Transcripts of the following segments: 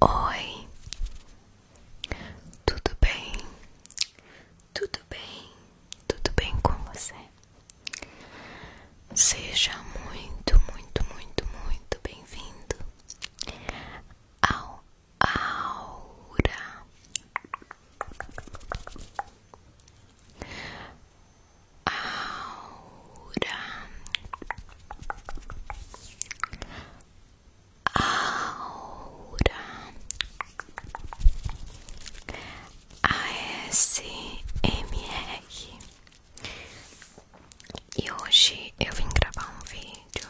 Oi, tudo bem? Tudo bem? Tudo bem com você? Seja muito, muito, muito, muito bem-vindo ao aura. Aura. Aura. ASMR. E hoje eu vim gravar um vídeo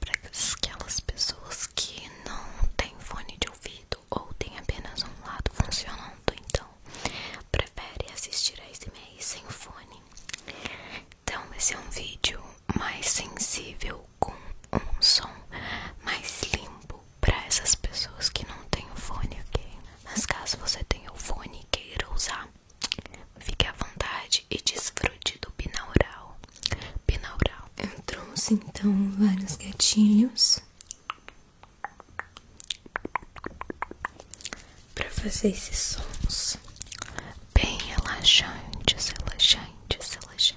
para aquelas pessoas que não têm fone de ouvido ou têm apenas um lado funcionando, então prefere assistir a esse SMR sem fone. Então esse é um vídeo mais sensível com um som mais limpo para essas pessoas que não têm fone, ok? Mas caso você tenha o fone e queira usar Fique à vontade e desfrute do pinaural. Pinaural. Eu trouxe então vários gatilhos para fazer esses sons bem relaxantes, relaxantes, relaxantes.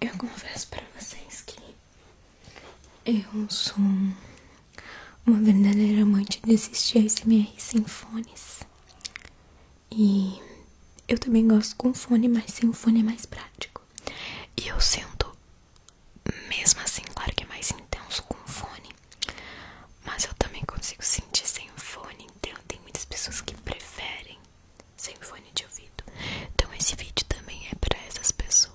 Eu confesso para vocês que eu sou uma verdadeira amante de assistir ASMR sem fones. E eu também gosto com fone, mas sem fone é mais prático. E eu sinto, mesmo assim, claro que é mais intenso com fone. Mas eu também consigo sentir sem fone. Então tem muitas pessoas que preferem sem fone de ouvido. Então esse vídeo também é para essas pessoas.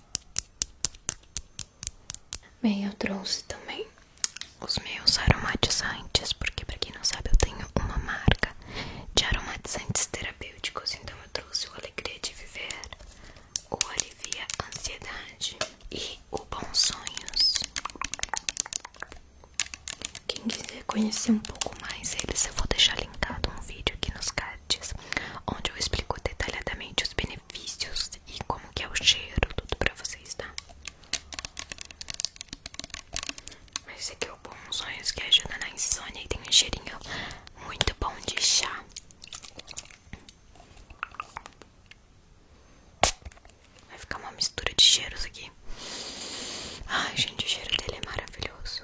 Bem, eu trouxe também os meus aromatizantes, porque para quem não sabe eu tenho uma marca de aromatizantes terapêuticos, então eu trouxe o Alegria de Viver, o Alivia Ansiedade e o Bons Sonhos. Quem quiser conhecer um pouco mais eles, eu vou deixar linkado um vídeo aqui nos cards onde eu explico detalhadamente os benefícios e como que é o cheiro, tudo pra vocês, tá? Mas esse aqui é o Bom Sonhos, que ajuda na insônia e tem um cheirinho muito bom de chá. Vai ficar uma mistura de cheiros aqui. Ai, gente, o cheiro dele é maravilhoso.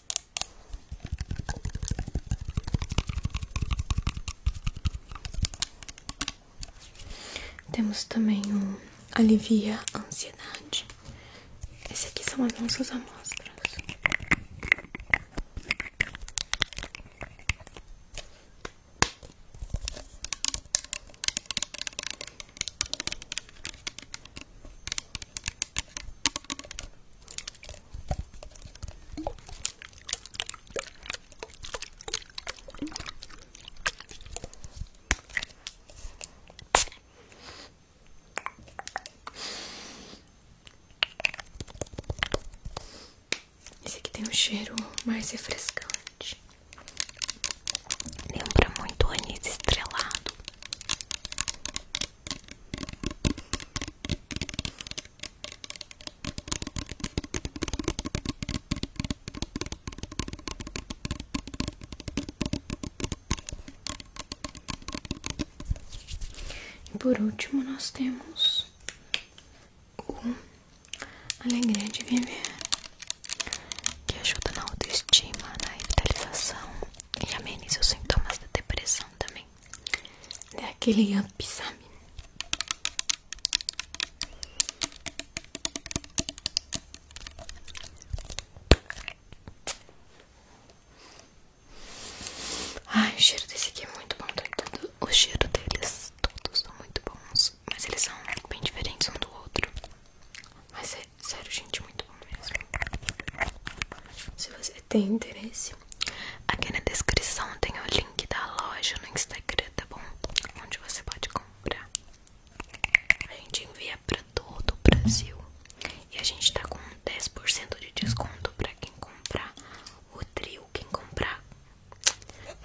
Temos também um alivia ansiedade. Esse aqui são as nossas amostras. Esse aqui tem um cheiro mais refrescante. Lembra muito anis estrelado. E por último, nós temos o Alegria de Viver, que ajuda na autoestima, na revitalização e amenize os sintomas da depressão também. É aquele up, sabe? Ai, o cheiro desse aqui é muito bom. Tá tudo, o cheiro deles, todos são muito bons. Mas eles são bem diferentes um do outro. Mas é Sério, gente, muito bom mesmo. Se você tem interesse, aqui na descrição tem o link da loja no Instagram, tá bom? Onde você pode comprar. A gente envia pra todo o Brasil. E a gente tá com 10% de desconto pra quem comprar o trio, quem comprar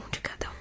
um de cada um.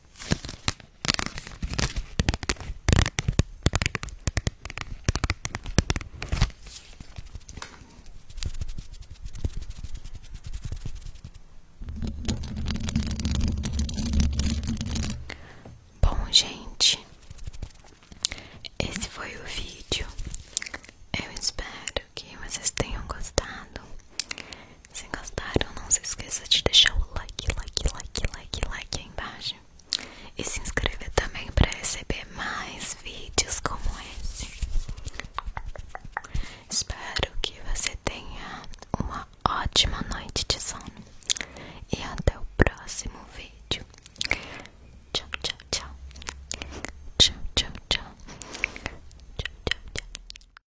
Bom, gente, esse foi o vídeo. Eu espero que vocês tenham gostado. Se gostaram, não se esqueça de deixar o like, like, like, like, like aí embaixo. E se inscrever também para receber mais vídeos como esse. Espero que você tenha uma ótima noite de sono. E até o próximo vídeo. Tchau, tchau, tchau. Tchau, tchau, tchau. Tchau, tchau, tchau.